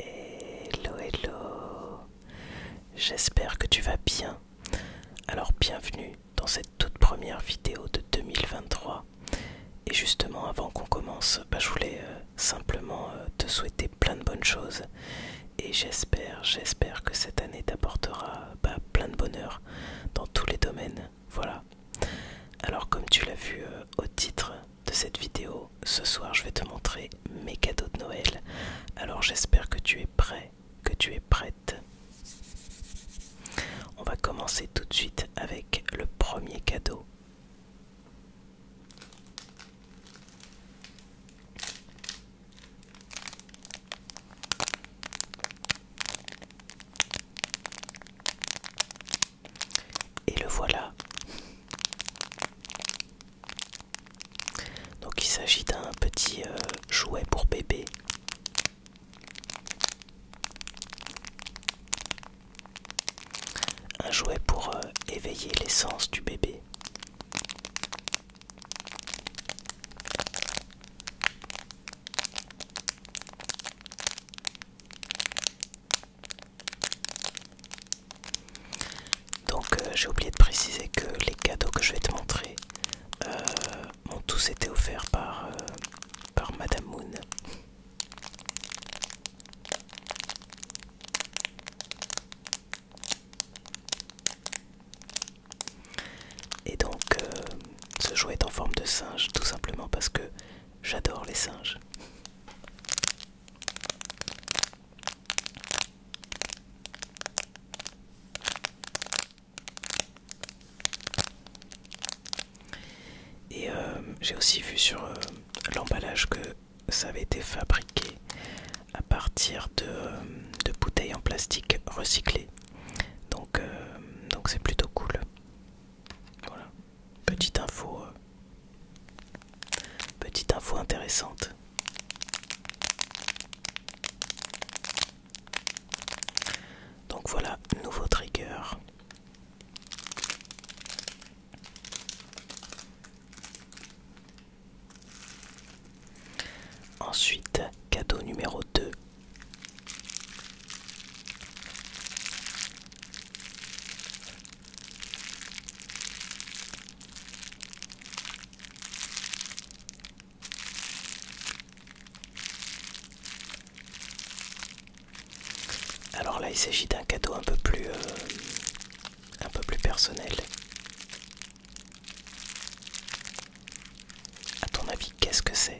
Hello, hello, j'espère que tu vas bien. Alors bienvenue dans cette toute première vidéo de 2023. Et justement, avant qu'on commence, bah, je voulais euh, simplement euh, te souhaiter plein de bonnes choses. Et j'espère, j'espère que cette année t'apportera bah, plein de bonheur dans tous les domaines. Voilà. Alors comme tu l'as vu euh, au titre de cette vidéo, ce soir, je vais te montrer mes cadeaux de Noël. Alors j'espère que tu es prêt, que tu es prête. On va commencer tout de suite avec le premier cadeau. Et le voilà. Donc il s'agit d'un petit euh, jouet pour bébé. Un jouet pour euh, éveiller l'essence du bébé. Donc euh, j'ai oublié de préciser que les cadeaux que je vais te montrer euh, ont tous été offerts par, euh, par Madame Moon. Et donc ce jouet est en forme de singe tout simplement parce que J'adore les singes. Et euh, j'ai aussi vu sur euh, l'emballage que ça avait été fabriqué à partir de, euh, bouteilles en plastique recyclées. Donc donc c'est plutôt cool. Voilà. Petite info. Euh, petite info intéressante. Donc voilà, nouveau trigger. Ensuite, cadeau numéro 2. Alors là, il s'agit d'un cadeau un peu plus euh, un peu plus personnel. À ton avis, qu'est-ce que c'est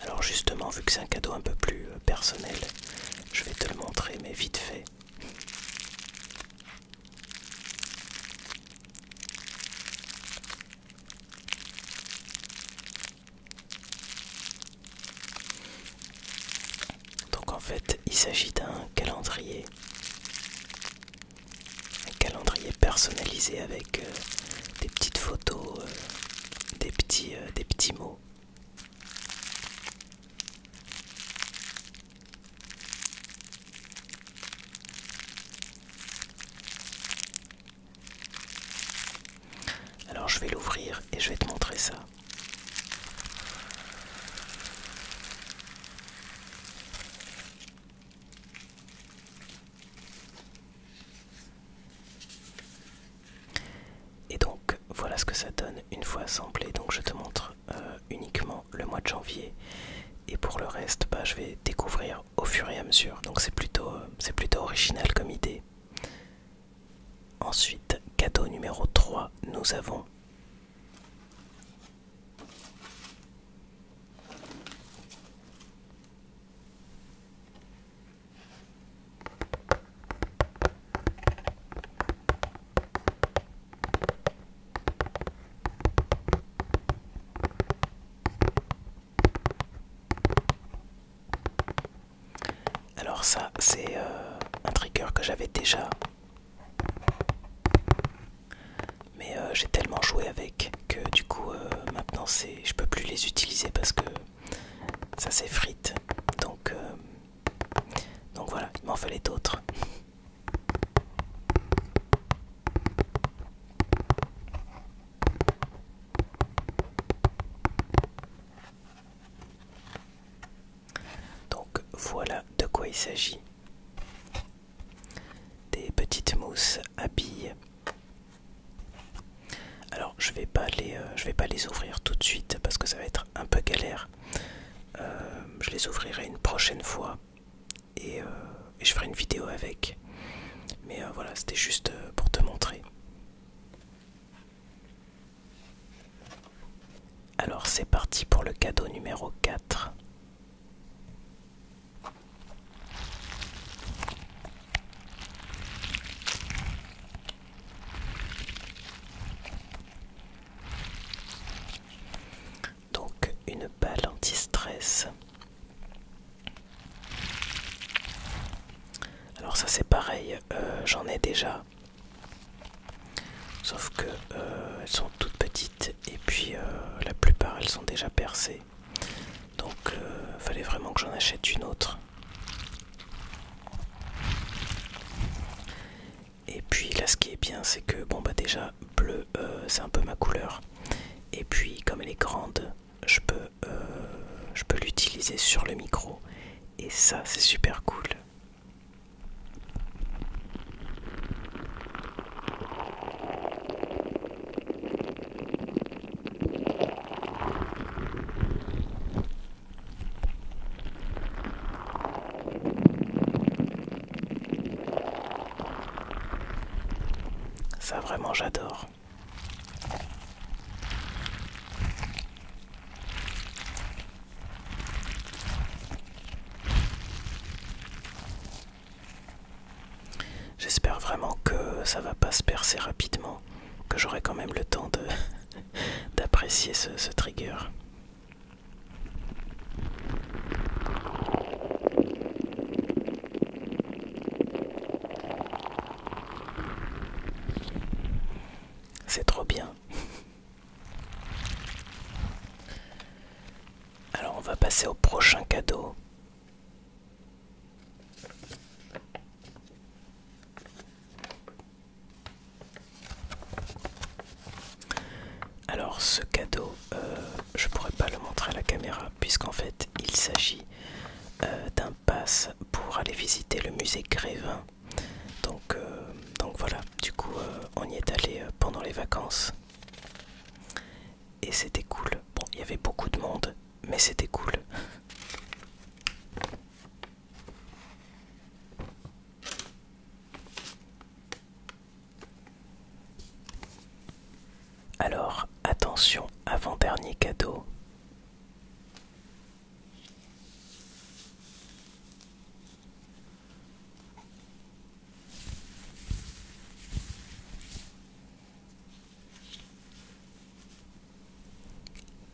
alors justement, vu que c'est un cadeau un peu plus euh, personnel, je vais te le montrer, mais vite fait. Donc en fait, il s'agit d'un calendrier. Un calendrier personnalisé avec euh, des petites photos, euh, des, petits, euh, des petits mots. Alors je vais l'ouvrir et je vais te montrer ça. Et donc voilà ce que ça donne une fois assemblé. Donc je te montre euh, uniquement le mois de janvier. Et pour le reste, bah, je vais découvrir au fur et à mesure. Donc c'est plutôt euh, original comme idée. Ensuite, cadeau numéro 3, nous avons alors ça c'est euh, un trigger que j'avais déjà. Mais euh, j'ai tellement joué avec que du coup euh, maintenant c'est je peux plus les utiliser parce que ça s'effrite. Donc donc voilà, il m'en fallait d'autres. Donc voilà de quoi il s'agit. Des petites mousses à billes. Alors je vais pas les, euh, vais pas les ouvrir tout de suite parce que ça va être un peu galère. Euh, je les ouvrirai une prochaine fois et, euh, je ferai une vidéo avec. Mais voilà, c'était juste pour te montrer. Alors c'est parti pour le cadeau numéro quatre. Donc une balle anti-stress alors ça c'est pareil, euh, j'en ai déjà. Sauf que euh, elles sont toutes petites et puis euh, la plupart elles sont déjà percées. Donc il fallait vraiment que j'en achète une autre. Et puis là ce qui est bien c'est que bon bah déjà bleu c'est un peu ma couleur. Et puis comme elle est grande, je peux, euh, je peux l'utiliser sur le micro et ça c'est super cool. Ça vraiment j'adore. J'espère vraiment que ça va pas se percer rapidement, que j'aurai quand même le temps d'apprécier ce, ce trigger. C'est trop bien. Alors on va passer au prochain cadeau. Alors ce cadeau, euh, je pourrais pas le montrer à la caméra puisqu'en fait il s'agit euh, d'un pass pour aller visiter le musée Grévin. Donc, euh, donc voilà, du coup on y est allé pendant les vacances et c'était cool. Bon, il y avait beaucoup de monde, mais c'était cool. Alors, attention, avant-dernier cadeau.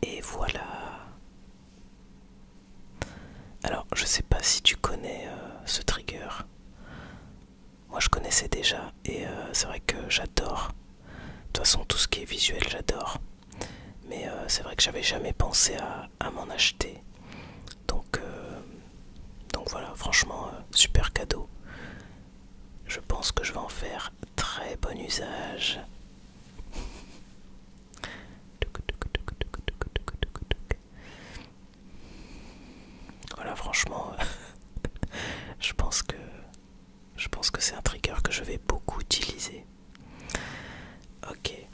Et voilà. Alors, je sais pas si tu connais euh, ce trigger moi je connaissais déjà et euh, c'est vrai que j'adore. De toute façon, tout ce qui est visuel, j'adore. Mais euh, c'est vrai que j'avais jamais pensé à, m'en acheter. Donc, euh, donc voilà, franchement, super cadeau. Je pense que je vais en faire très bon usage. Voilà, franchement, euh, je pense que je pense que c'est un trigger que je vais beaucoup utiliser. Ok.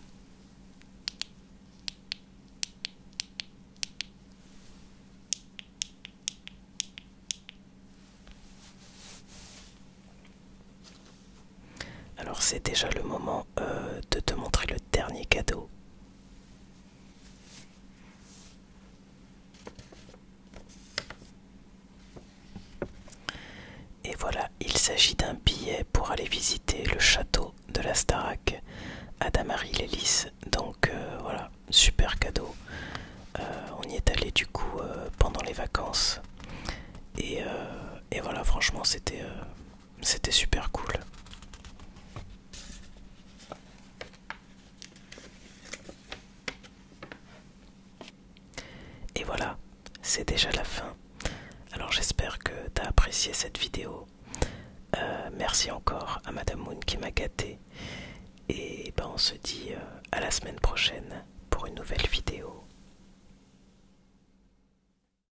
Alors c'est déjà le moment euh, de te montrer le dernier cadeau et voilà, il s'agit d'un billet pour aller visiter le château de la Starac à damary les Donc euh, voilà, super cadeau. Euh, on y est allé du coup euh, pendant les vacances. Et, voilà, franchement, c'était c'était super cool. Et voilà, c'est déjà la fin. Alors j'espère que tu as apprécié cette vidéo. Euh, merci encore à Madame Moon qui m'a gâté. Et ben on se dit euh, à la semaine prochaine pour une nouvelle vidéo.